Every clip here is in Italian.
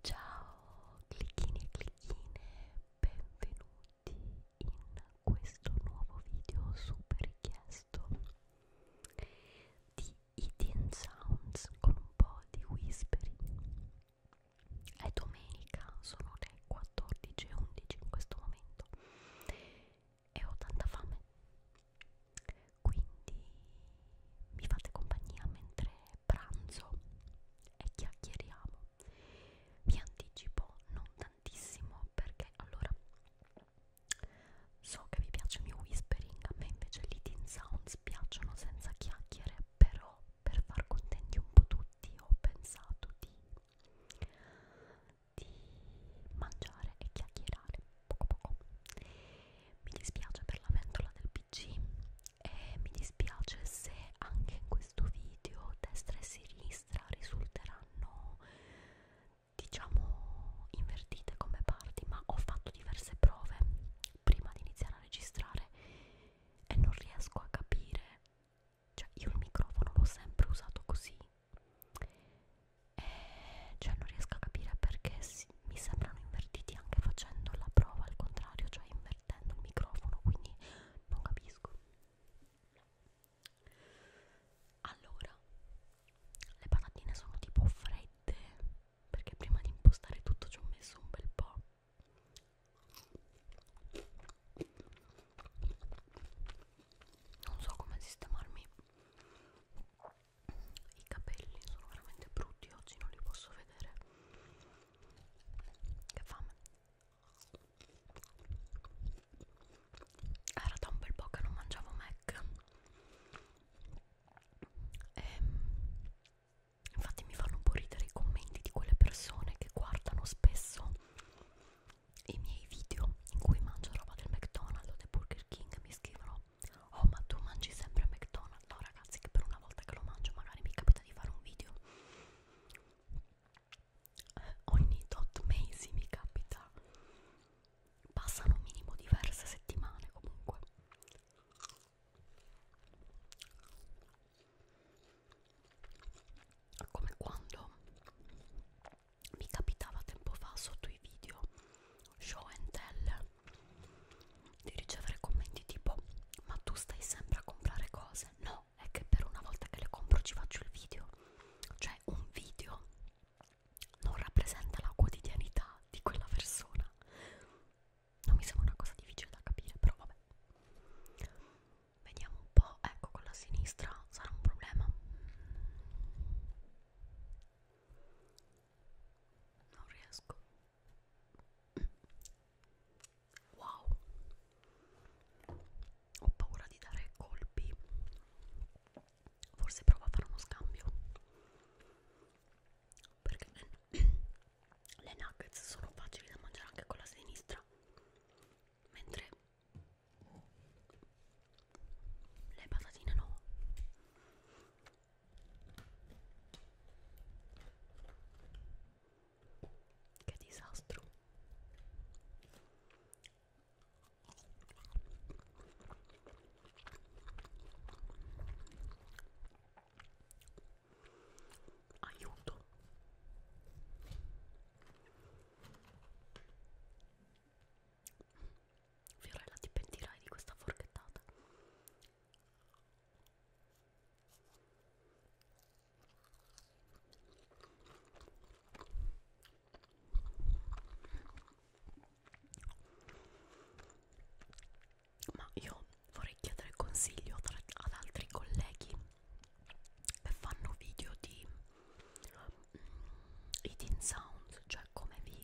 Ciao clicchini e clicchine, benvenuti in questo nuovo video super richiesto di Eating Sounds con un po' di whispering. È domenica, sono le 14.11 in questo momento e ho tanta fame, quindi mi fate compagnia mentre pranzo e chiacchieriamo. Vi anticipo non tantissimo perché allora so che vi piace il mio whispering, a me invece gli teen sounds piacciono senza chiacchiere, però per far contenti un po' tutti ho pensato di, di mangiare e chiacchierare poco poco. Mi dispiace per la ventola del PC e mi dispiace se anche in questo video destra e sinistra risulteranno diciamo invertite come parti ma ho fatto diverse prove prima di iniziare a registrare e non riesco a capire cioè io il microfono l'ho sempre usato così e cioè non riesco a capire perché si, mi sembrano invertiti anche facendo la prova al contrario, cioè invertendo il microfono, quindi non capisco. Allora, le patatine sono tipo fredde perché prima di impostare tutto ci ho messo un bel po'. Non so come sistemarmi i capelli sono veramente brutti oggi non li posso vedere che fame era da un bel po' che non mangiavo Mac e, ehm, infatti mi fanno un po' ridere i commenti di quelle persone che guardano spesso i miei video in cui mangio roba del McDonald's o del Burger King mi scrivono Oh ma tu mangi sempre a McDonald's? No ragazzi che per una volta che lo mangio magari mi capita di fare un video eh, Ogni tot mesi mi capita Passano un minimo diverse settimane comunque come quando mi capitava tempo fa sotto i video show and tell di ricevere commenti tipo ma tu stai sempre a comprare cose no è che per una volta che le compro ci faccio il video cioè un video non rappresenta la quotidianità di quella persona non mi sembra una cosa difficile da capire però vabbè vediamo un po' ecco con la sinistra sarà un problema non riesco Wow, ho paura di dare colpi. Forse provo a fare uno scambio. Perché le nuggets sono facili da mangiare anche con la sinistra, mentre le patatine no. Che disastro. Aiuto. Fiorella ti pentirai di questa forchettata ma io vorrei chiedere consiglio tra, ad altri colleghi che fanno video di mm, eating sounds, cioè come vi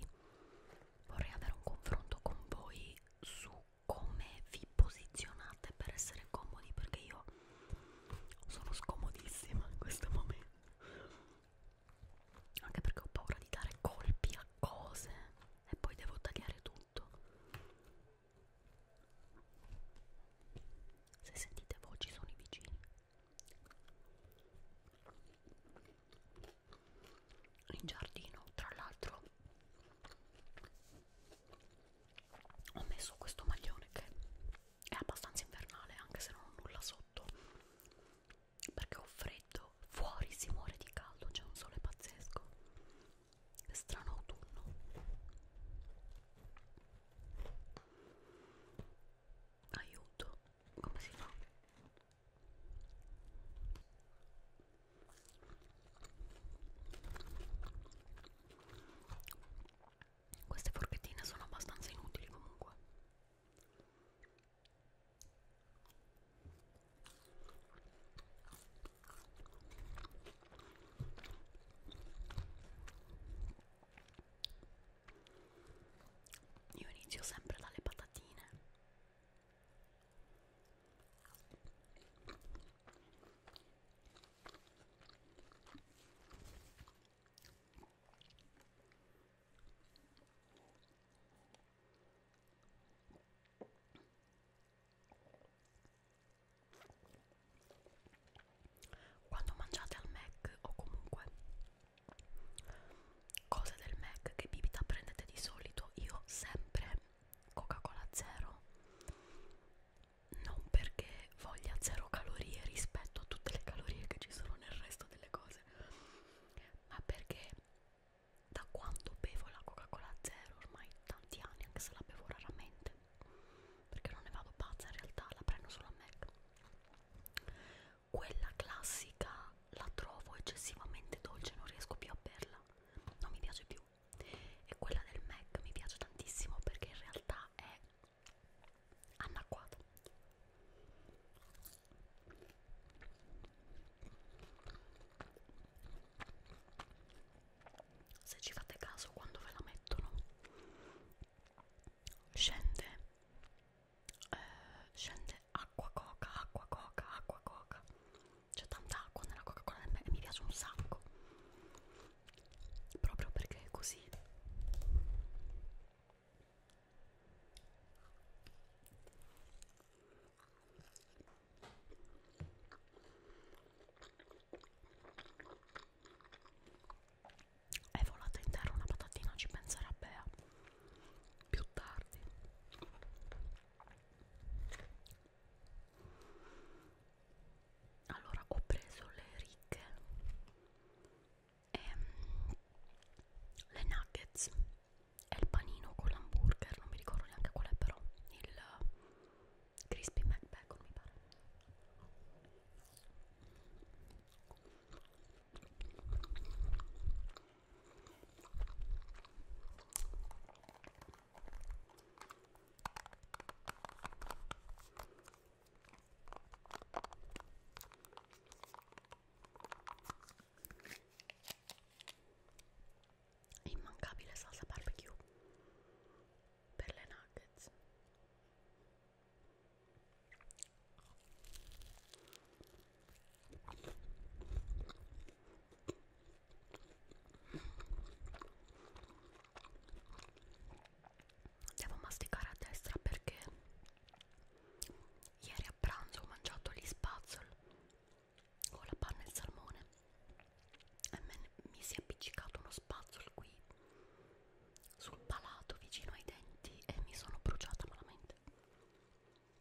vorrei avere un confronto con voi su come vi posizionate per essere comodi perché io sono scomodissima in questo momento anche perché ho paura di dare colpi a cose e poi devo tagliare tutto se sentite voci sono i vicini in giardino tra l'altro ho messo questo maglione che è abbastanza invernale anche se non ho nulla sotto perché ho freddo fuori si muore di caldo c'è un sole pazzesco è strano autunno aiuto come si fa queste forchettine sono abbastanza inutili comunque. Io inizio sempre dalle patatine quando mangiate al Mac o comunque cose del Mac che bibita prendete di solito io sempre Coca-Cola zero non perché voglia zero calorie rispetto a tutte le calorie che ci sono nel resto delle cose ma perché da quando bevo la Coca-Cola zero ormai tanti anni anche se la bevo raramente perché non ne vado pazza in realtà la prendo solo a Mac quella classica la trovo eccessivamente dolce non riesco più a berla non mi piace più e quella del MAC mi piace tantissimo perché in realtà è anacquata se ci fate caso quando ve la mettono scende eh, scende acqua coca acqua coca acqua coca c'è tanta acqua nella coca cola e mi piace un sacco proprio perché è così è volata in terra una patatina, ci penserà Bea più tardi allora ho preso le righe e le nuggets e il panino con l'hamburger non mi ricordo neanche qual è però il crispy mac bacon mi pare Immancabile salsa barbecue per le nuggets. Devo masticare a destra perché ieri a pranzo ho mangiato gli spazzoli con la panna e il salmone e mi si è appiccicato uno spazzolo qui sul palato vicino ai denti e mi sono bruciata malamente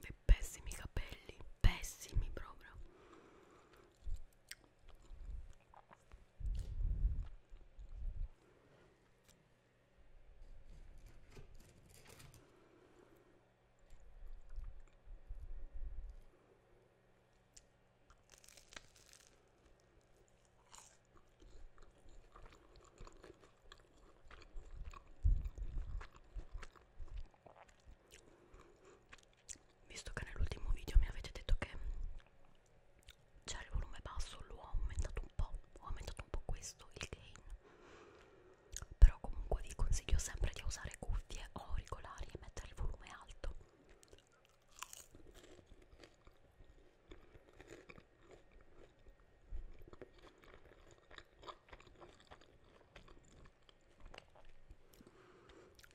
Beh, pessimi capelli, pessimi proprio. Visto che nell'ultimo video mi avete detto che c'è il volume basso, l'ho aumentato un po', ho aumentato un po' questo, il gain. Però comunque vi consiglio sempre di usare cuffie o auricolari e mettere il volume alto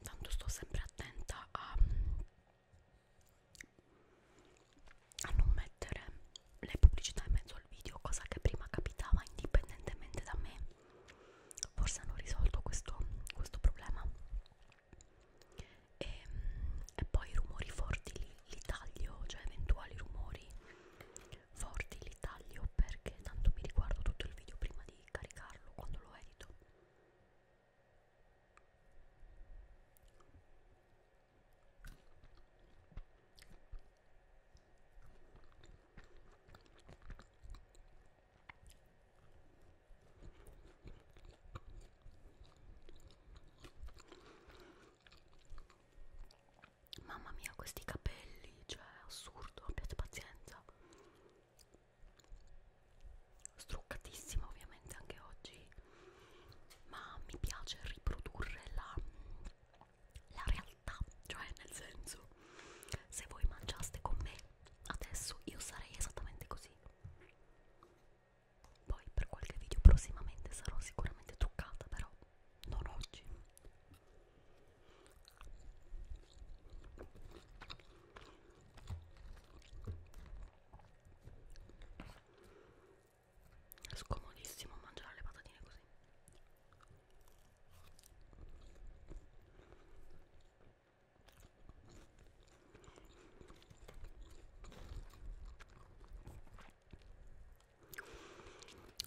tanto sto sempre attenta a, a non mettere le pubblicità in mezzo al video cosa che prima capitava indipendentemente da me forse hanno risolto questo, questo problema e, e poi i rumori forti li, li taglio cioè eventuali rumori forti li taglio perché tanto mi riguardo tutto il video prima di caricarlo quando lo edito Mamma mia, questi capelli, cioè assurdo, abbiate pazienza. Struccatissima ovviamente anche oggi, ma mi piace riprodurre la, la realtà realtà cioè nel senso se voi mangiaste con me adesso io sarei esattamente così poi per qualche video prossimamente sarò sicuramente truccata però non oggi Scomodissimo mangiare le patatine così.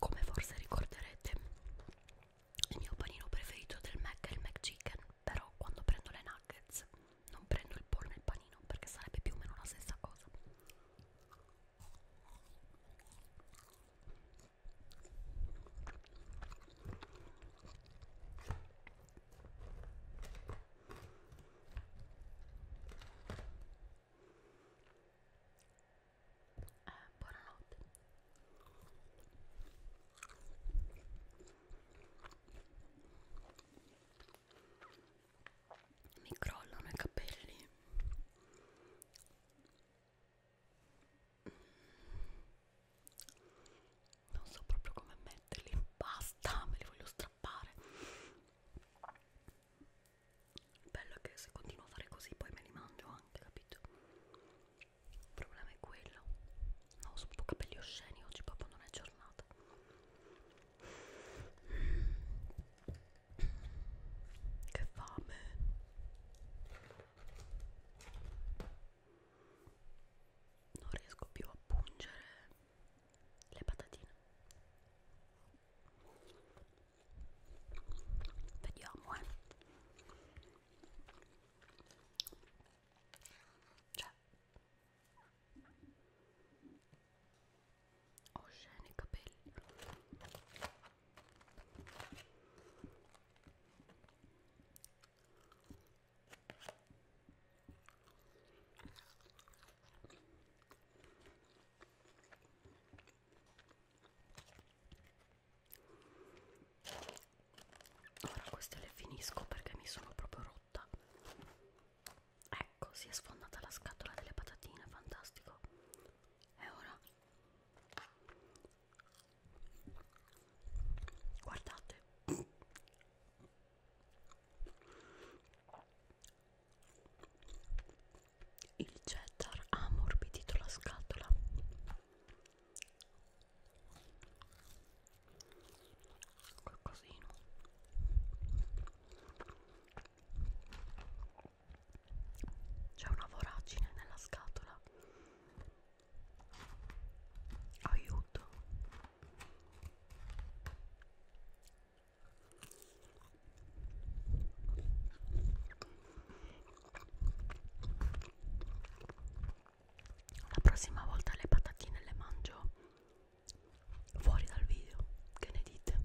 Come forse ricorderete, il mio panino preferito del Mac è il Mac Chicken, però quando prendo le nuggets non prendo il porno e il panino perché sarebbe più o meno la stessa cosa. Eh, buonanotte mi crollano i capelli non so proprio come metterli basta me li voglio strappare il bello è che se continuo a fare così poi me li mangio anche capito il problema è quello no sono un po' capelli osceni oggi proprio non è giornata che fame non riesco più a pungere le patatine vediamo eh cioè osceni capelli Ora queste le finisco perché mi sono proprio rotta. Ecco, si è sfondata la scatola delle patatine, fantastico. E ora guardate il cheddar ha ammorbidito la scatola qualcosino c'è una voragine nella scatola aiuto la prossima volta le patatine le mangio fuori dal video che ne dite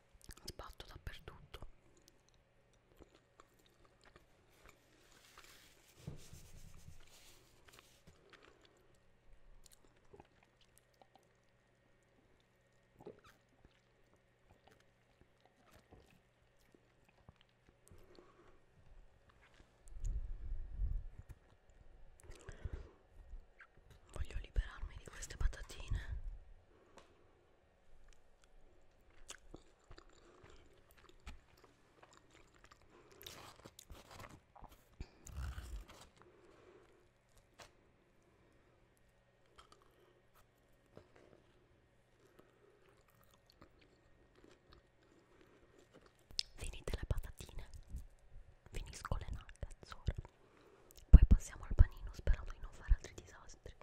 sbatto dappertutto Voglio liberarmi di queste patatine. Finite le patatine finisco le nuggets ora poi passiamo al panino sperando di non fare altri disastri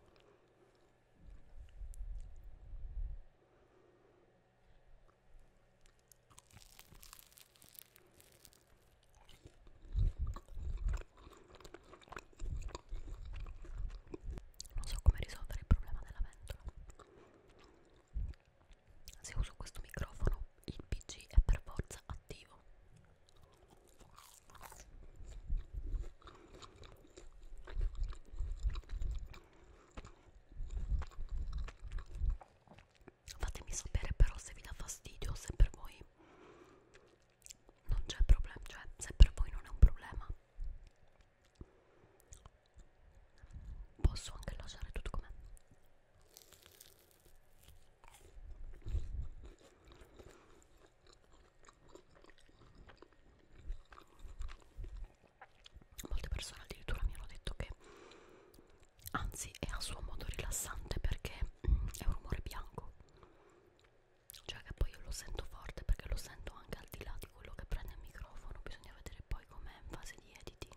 non so come risolvere il problema della ventola se uso questo microfono il pc è per forza attivo Fatemi sapere però se vi dà fastidio, se per voi non c'è problema, cioè se per voi non è un problema. Posso anche lasciare tutto com'è. Molte persone addirittura mi hanno detto che anzi è a suo modo rilassante perché mm, è un rumore bianco. Cioè che poi io lo sento forte perché lo sento anche al di là di quello che prende il microfono, bisogna vedere poi com'è in fase di editing.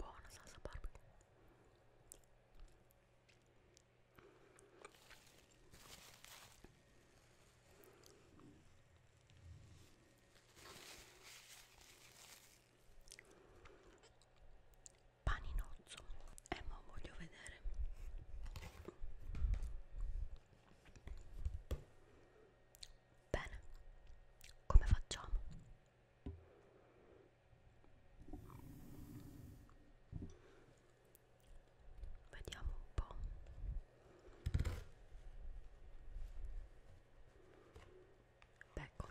buona salsa barbecue paninozzo e eh, ma voglio vedere Bene, come facciamo? Vediamo un po'. Bacon.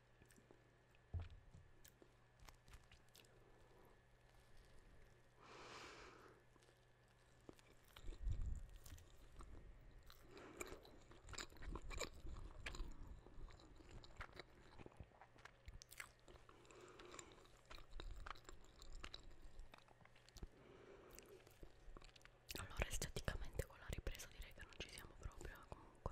Allora esteticamente con la ripresa direi che non ci siamo proprio eh, comunque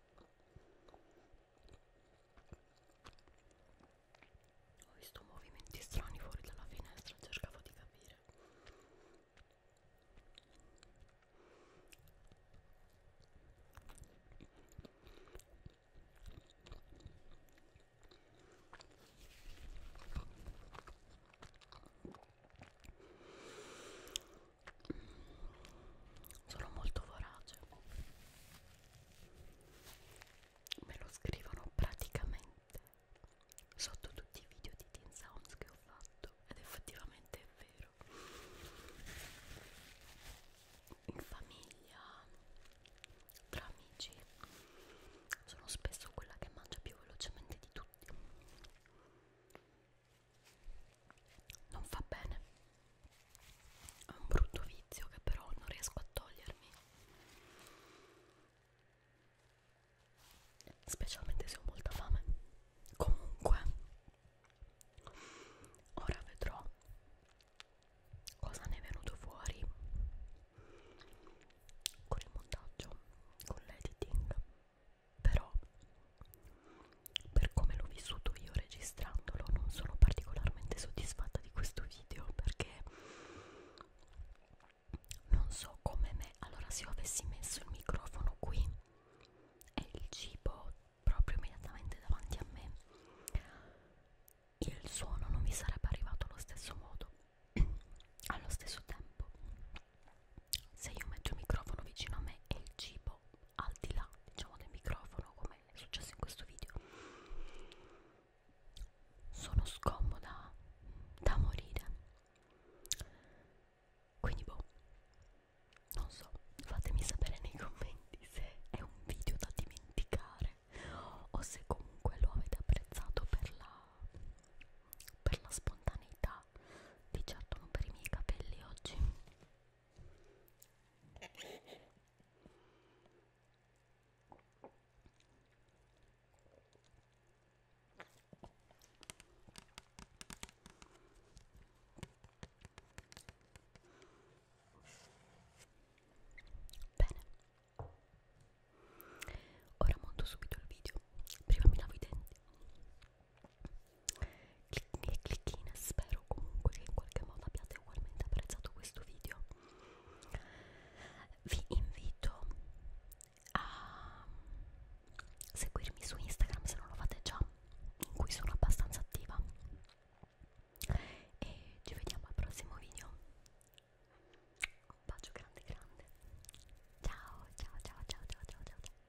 Ho visto movimenti strani fuori dalla finestra, cercavo di capire sono molto vorace me lo scrivono praticamente sotto tutti i video di Teen Sounds che ho fatto ed effettivamente è vero in famiglia tra amici sono spesso quella che mangia più velocemente di tutti non fa bene è un brutto vizio che però non riesco a togliermi specialmente se ho molta fame comunque ora vedrò cosa ne è venuto fuori con il montaggio con l'editing però per come l'ho vissuto io registrandolo non sono particolarmente soddisfatta di questo video perché non so come me allora se io avessi messo il microfono qui e il cibo proprio immediatamente davanti a me il suono non mi sarebbe arrivato allo stesso modo allo stesso tempo se io metto il microfono vicino a me e il cibo al di là diciamo del microfono come è successo in questo video sono scomoda da morire quindi boh non so fatemi sapere nei commenti se è un video da dimenticare o se comunque lo avete apprezzato per la per la spontaneità ma di certo non per i miei capelli oggi Bene, ora monto subito il video. Prima mi lavo i denti clicchini e clicchine spero comunque che in qualche modo abbiate ugualmente apprezzato questo video vi invito a seguirmi su Instagram se non lo fate già in cui sono abbastanza attiva e ci vediamo al prossimo video un bacio grande grande ciao ciao ciao ciao ciao ciao ciao